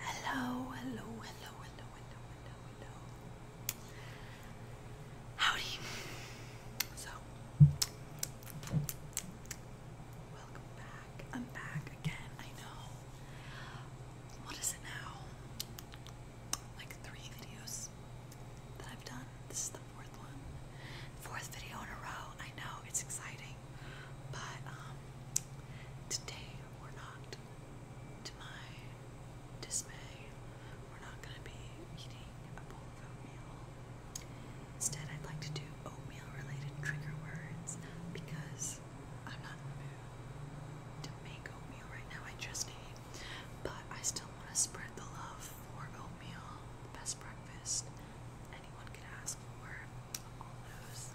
Hello, hello, hello, hello, hello, hello, hello. Howdy. So, welcome back. I'm back again, I know. What is it now? Like three videos that I've done. This is the fourth one. Fourth video in a row. I know, it's exciting. But, um, today we're not, to my dismay, we're not going to be eating a bowl of oatmeal. Instead, I'd like to do oatmeal related trigger words because I'm not in the mood to make oatmeal right now. I just ate, but I still want to spread the love for oatmeal, the best breakfast anyone can ask for all those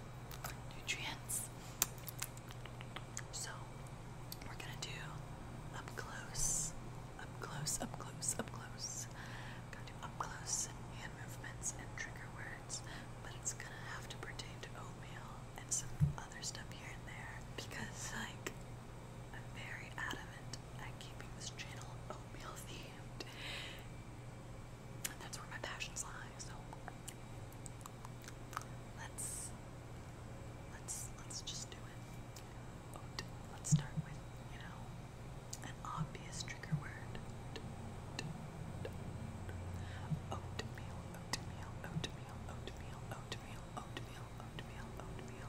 nutrients. So we're gonna do up close, up close, up close, up close. gonna do up close hand movements and trigger words, but it's gonna have to pertain to oatmeal and some other stuff here and there because like I'm very adamant at keeping this channel oatmeal themed that's where my passions lie. So let's let's let's just do it. let's start with, you know, an obvious trigger word. Oatmeal, oatmeal, oatmeal, oatmeal, oatmeal, oatmeal, oatmeal, oatmeal, oatmeal.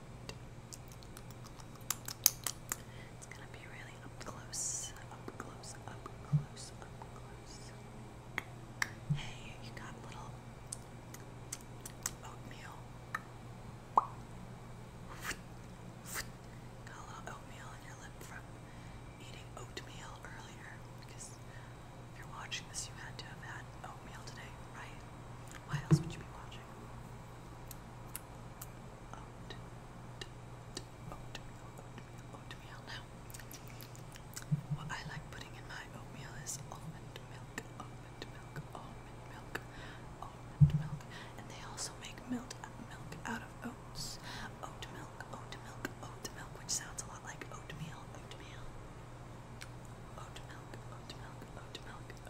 it's gonna be really up close, up close, up close, up close. Hey, you got little oatmeal. Got a little oatmeal in your lip from eating oatmeal earlier. Because if you're watching this, you had to have had oatmeal today, right? Why else would you be watching? oat, oatmeal, oatmeal, oatmeal. Now, what I like putting in my oatmeal is almond milk, almond milk, almond milk, almond milk, and they also make milk, milk out of oats, oat milk, oat milk, oat milk, which sounds a lot like oatmeal, oatmeal. Oat milk, oat milk, oat milk,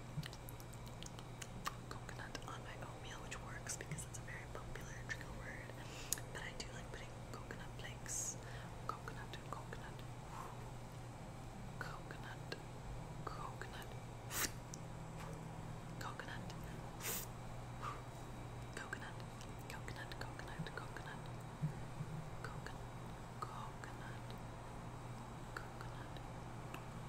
coconut on my oatmeal, which works because it's a very popular trigger word. But I do like putting coconut flakes, coconut, coconut, coconut, coconut, coconut, coconut, coconut, coconut, coconut, coconut, coconut, coconut, coconut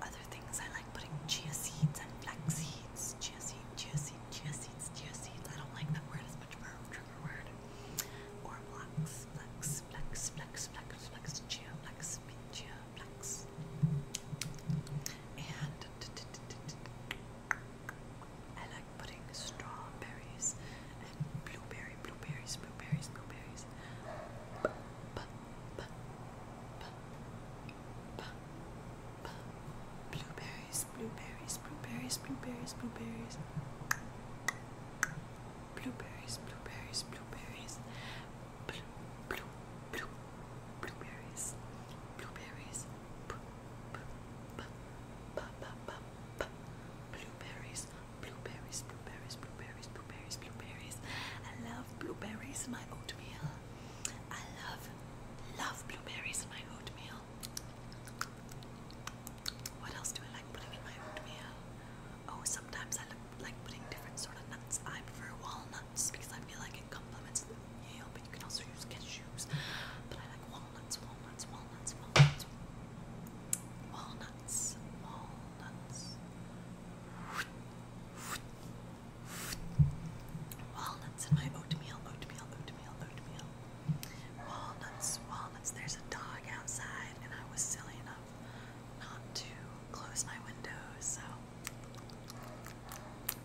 Other things I like putting chia seeds and flax seeds. Chia seed, chia seed, chia seeds, chia seeds. I don't like that word as much for a trigger word. Or flax, flax, flax, flax, flax, flax, chia, flax, chia, flax. And I like putting strawberries and blueberry, blueberries, blueberries, blueberries. Blueberries, blueberries, blueberries, blueberries, blueberries. Blueberries, blueberries, blueberries. Blue, blue, blue, blueberries. Blueberries. Blueberries, blueberries, blueberries, blueberries, blueberries, blueberries. I love blueberries in my oatmeal. I love, love blueberries in my oatmeal. What else do I like putting in my oatmeal? Oh, sometimes I like putting different sort of nuts. I prefer walnuts because I feel like it complements the meal, but you can also use cashews. But I like walnuts, walnuts, walnuts, walnuts. Walnuts, walnuts. Walnuts in my oatmeal, oatmeal, oatmeal, oatmeal. Walnuts, walnuts. There's a dog outside, and I was silly enough not to close my windows, so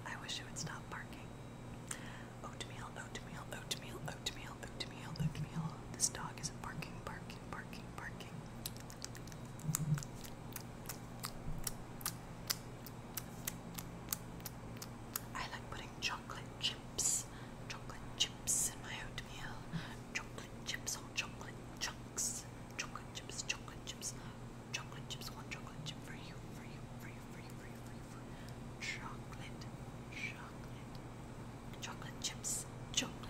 I wish it would stop barking. Oatmeal, oatmeal, oatmeal, oatmeal, oatmeal, oatmeal. This dog is barking, barking, barking, barking. I like putting chocolate chips, chocolate chips in my oatmeal, chocolate chips on chocolate chunks, chocolate chips, chocolate chips, chocolate chips, one chocolate chip for you, for you, for you, for you, for you, for you, for you. chocolate, chocolate, chocolate chips, chocolate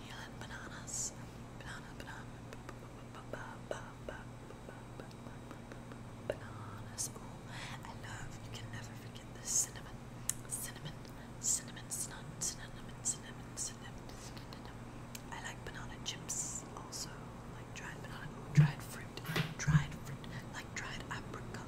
watermelon, bananas, banana, banana, bananas. Ooh, I love. You can never forget the cinnamon, cinnamon, cinnamon, cinnamon, cinnamon, cinnamon, cinnamon. I like banana chips also, like dried banana, dried fruit, dried fruit, like dried apricot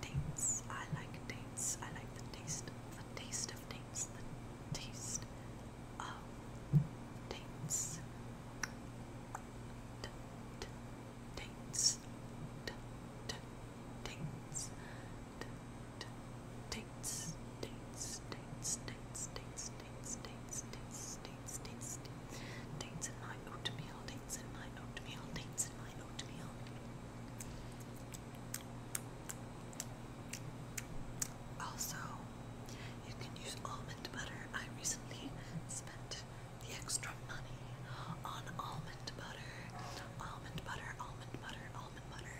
dates. I like dates. I like the taste, the taste of dates, the taste of dates. D -d dates. D -d dates. D -d dates. Dates. Dates. Dates. Dates. Dates. Dates. Dates. Dates dates, dates, dates, dates in my oatmeal, dates in my oatmeal, dates in my oatmeal. Also, you can use almond butter. I recently spent the extra money on almond butter. Almond butter, almond butter, almond butter.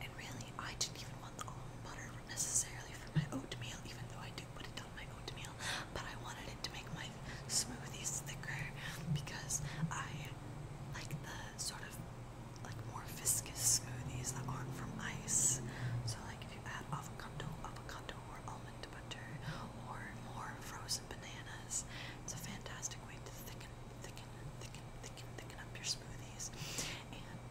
And really, I didn't even want the almond butter necessarily for my oatmeal, even though I do put it but I wanted it to make my smoothies thicker because I like the sort of like more viscous smoothies that aren't from ice. So like if you add avocado, avocado or almond butter or more frozen bananas, it's a fantastic way to thicken, thicken, thicken, thicken, thicken up your smoothies. And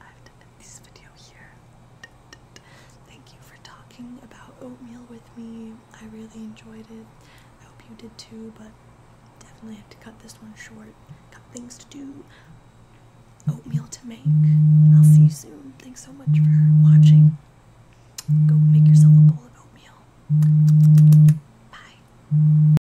I have to this video here. Thank you for talking about oatmeal with me. I really enjoyed it. I hope you did too, but definitely have to cut this one short. Got things to do, oatmeal to make. I'll see you soon. Thanks so much for watching. Go make yourself a bowl of oatmeal. Bye.